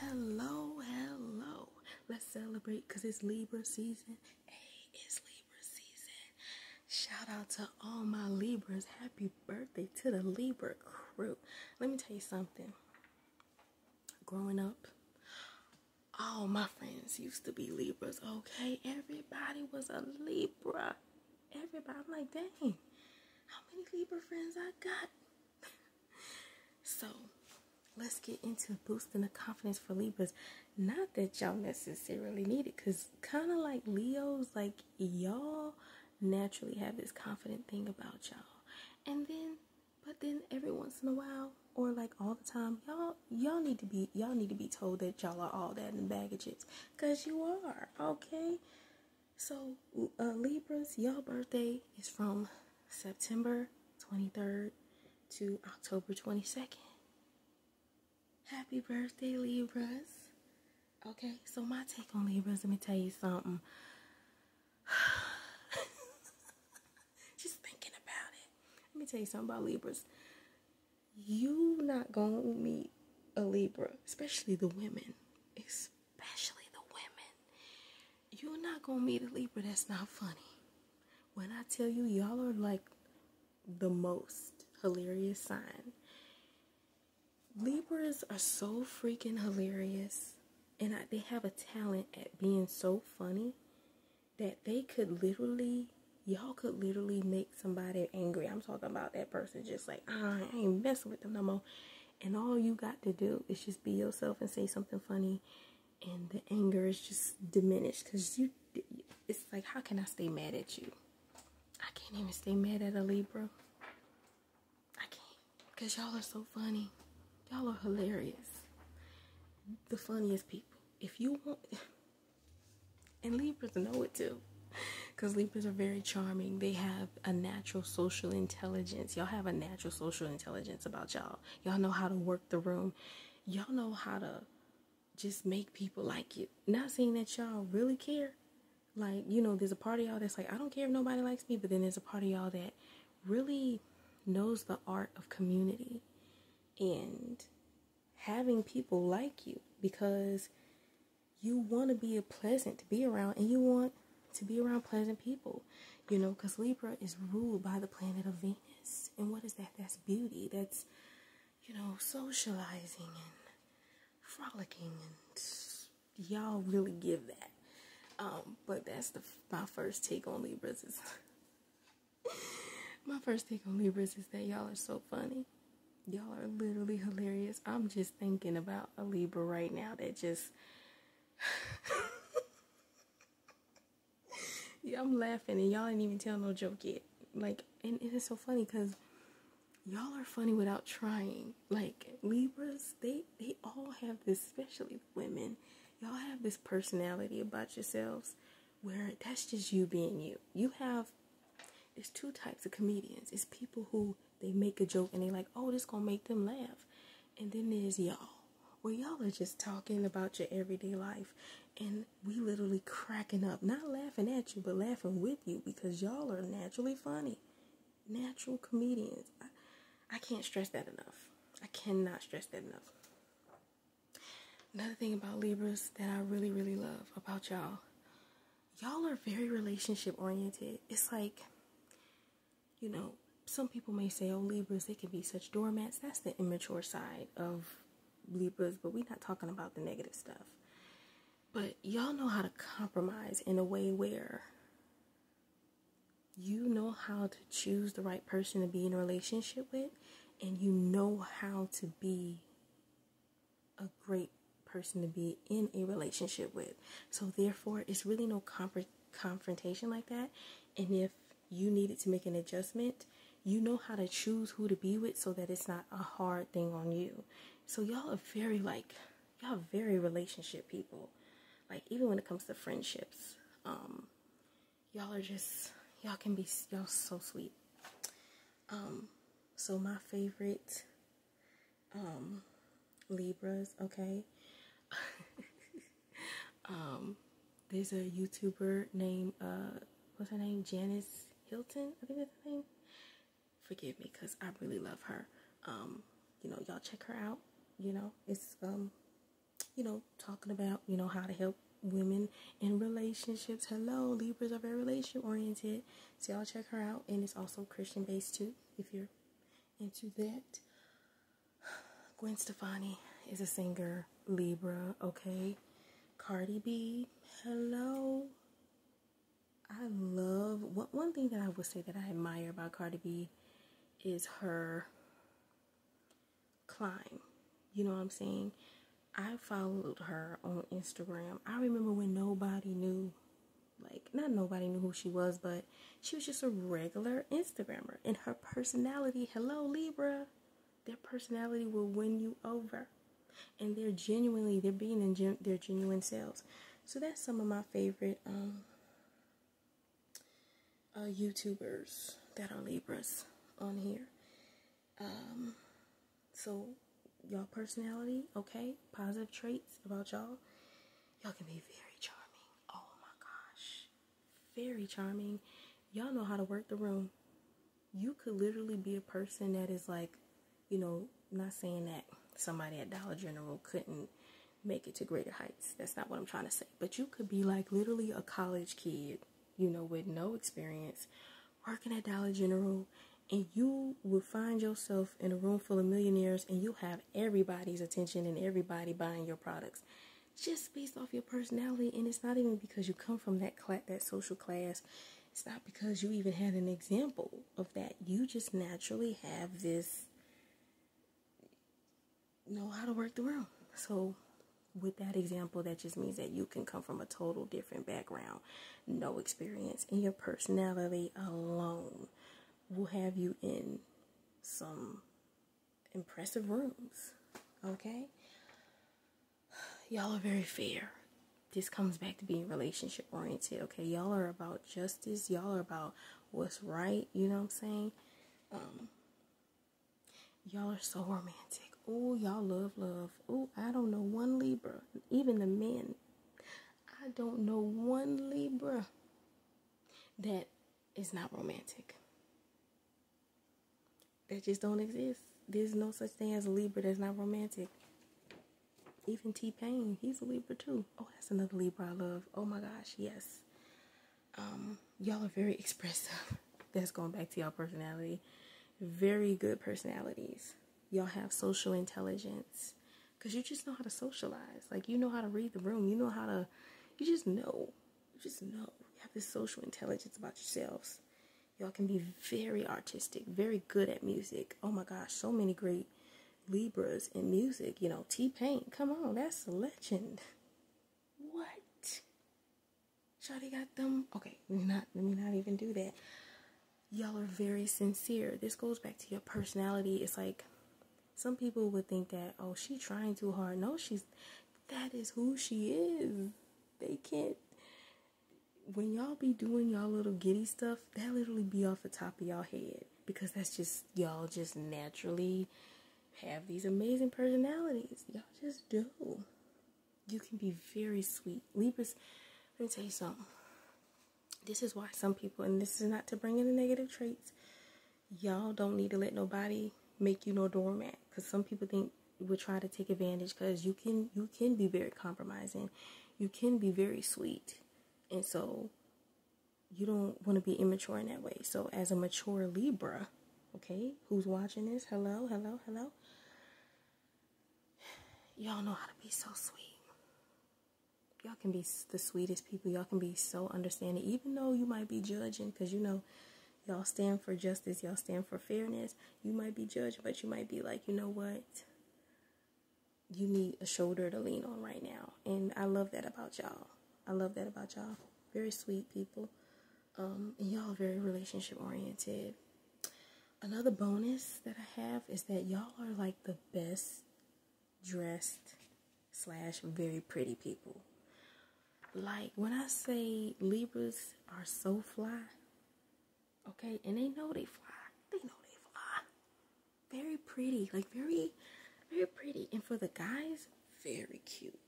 Hello, hello. Let's celebrate because it's Libra season. it's Libra season. Shout out to all my Libras. Happy birthday to the Libra crew. Let me tell you something. Growing up, all my friends used to be Libras, okay? Everybody was a Libra. Everybody, I'm like, dang, how many Libra friends I got? so let's get into boosting the confidence for Libras. Not that y'all necessarily need it, because kind of like Leos, like y'all naturally have this confident thing about y'all. And then, but then every once in a while, or like all the time, y'all y'all need to be y'all need to be told that y'all are all that in a bag of chips, cause you are. Okay, so, uh, Libras, your birthday is from September 23rd to October 22nd. Happy birthday, Libras. Okay, so my take on Libras, let me tell you something. Just thinking about it. Let me tell you something about Libras. You not gonna meet a Libra, especially the women especially the women. You're not gonna meet a Libra that's not funny. When I tell you, y'all are like the most hilarious sign. Libras are so freaking hilarious, and they have a talent at being so funny that they could literally, y'all could literally make somebody angry. I'm talking about that person just like. Ah, I ain't messing with them no more. And all you got to do is just be yourself and say something funny, and the anger is just diminished because you, it's like, how can I stay mad at you? I can't even stay mad at a Libra. I can't because y'all are so funny. Y'all are hilarious. The funniest people. If you want, and Libras know it too. Because Libras are very charming. They have a natural social intelligence. Y'all have a natural social intelligence about y'all. Y'all know how to work the room. Y'all know how to just make people like you. Not saying that y'all really care. Like, you know, there's a part of y'all that's like, I don't care if nobody likes me. But then there's a part of y'all that really knows the art of community and having people like you because you want to be pleasant to be around and you want to be around pleasant people you know because libra is ruled by the planet of venus and what is that that's beauty that's you know socializing and frolicking and y'all really give that um but that's the my first take on libras is my first take on libras is that y'all are so funny Y'all are literally hilarious. I'm just thinking about a Libra right now that just. yeah, I'm laughing and y'all didn't even tell no joke yet. Like, and, it's so funny because y'all are funny without trying. Like, Libras, they, they all have this, especially women, y'all have this personality about yourselves where that's just you being you. You have there's two types of comedians. It's people who they make a joke and they are like, oh, this gonna make them laugh. And then there's y'all, where y'all are just talking about your everyday life and we literally cracking up, not laughing at you, but laughing with you because y'all are naturally funny. Natural comedians. I can't stress that enough. I cannot stress that enough. Another thing about Libras that I really, really love about y'all, y'all are very relationship oriented. It's like, you know, some people may say, oh, Libras, they can be such doormats. That's the immature side of Libras, but we're not talking about the negative stuff. But y'all know how to compromise in a way where you know how to choose the right person to be in a relationship with and you know how to be a great person to be in a relationship with. So, therefore, it's really no comp- confrontation like that. And if you needed to make an adjustment, you know how to choose who to be with so that it's not a hard thing on you. So, y'all are very like, y'all very relationship people. Like, even when it comes to friendships, um, y'all are just y'all can be y'all so sweet. Um, so my favorite um Libras, okay. um, there's a YouTuber named uh, what's her name? Janice Hilton, I think that's her name. Forgive me, cause I really love her. Um, you know, y'all check her out. You know, it's um you know, talking about, you know, how to help women in relationships. Hello, Libras are very relationship oriented. So y'all check her out. And it's also Christian based too, if you're into that. Gwen Stefani is a singer, Libra, okay? Cardi B, hello. I love what one thing that I would say that I admire about Cardi B is her Climb, You know what I'm saying? I followed her on Instagram. I remember when nobody knew, like, not nobody knew who she was, but she was just a regular Instagrammer. And her personality, hello, Libra, their personality will win you over. And they're genuinely, they're being in their genuine selves. So that's some of my favorite um, uh, YouTubers that are Libras on here. Um, so, y'all personality, okay, positive traits about y'all. Y'all can be very charming. Oh my gosh. Very charming. Y'all know how to work the room. You could literally be a person that is like, you know, not saying that somebody at Dollar General couldn't make it to greater heights. That's not what I'm trying to say. But you could be like literally a college kid, you know, with no experience, working at Dollar General, and you would find yourself in a room full of millionaires and you have everybody's attention and everybody buying your products just based off your personality. And it's not even because you come from that class, that social class. It's not because you even had an example of that. You just naturally have this know how to work the world. So, with that example, that just means that you can come from a total different background, no experience, and your personality alone will have you in some impressive rooms. Okay? Y'all are very fair. This comes back to being relationship oriented. Okay? Y'all are about justice. Y'all are about what's right. You know what I'm saying? Um, y'all are so romantic. Oh, y'all love love. Oh, I don't know one Libra, even the men. I don't know one Libra that is not romantic. That just don't exist. There's no such thing as a Libra that's not romantic. Even T Pain, he's a Libra too. Oh, that's another Libra I love. Oh my gosh, yes. Um, y'all are very expressive. that's going back to y'all personality. Very good personalities. Y'all have social intelligence because you just know how to socialize. Like you know how to read the room. You know how to. You just know. You just know. You have this social intelligence about yourselves. Y'all can be very artistic, very good at music. Oh my gosh, so many great Libras in music. You know, T Pain, come on, that's a legend. What? Shawty got them. Okay, not let me not even do that. Y'all are very sincere. This goes back to your personality. It's like some people would think that oh she's trying too hard. No, she's that is who she is. They can't when y'all be doing y'all little giddy stuff, that literally be off the top of y'all head because that's just y'all just naturally have these amazing personalities. Y'all just do. You can be very sweet. Libras, let me tell you something. This is why some people, and this is not to bring in the negative traits, y'all don't need to let nobody make you no doormat because some people think will try to take advantage because you can you can be very compromising you can be very sweet. And so you don't want to be immature in that way. So as a mature Libra, okay, who's watching this? Hello, hello, hello. Y'all know how to be so sweet. Y'all can be the sweetest people. Y'all can be so understanding, even though you might be judging, because you know, y'all stand for justice, y'all stand for fairness. You might be judged, but you might be like, you know what? You need a shoulder to lean on right now. And I love that about y'all. I love that about y'all. Very sweet people. Um, y'all very relationship oriented. Another bonus that I have is that y'all are like the best dressed slash very pretty people. Like when I say Libras are so fly, Okay, and they know they fly. They know they fly. Very pretty, like very, very pretty. And for the guys, very cute.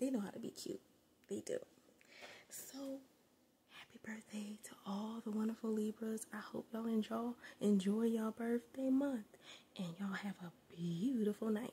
They know how to be cute. They do. So happy birthday to all the wonderful Libras. I hope y'all enjoy enjoy y'all birthday month and y'all have a beautiful night.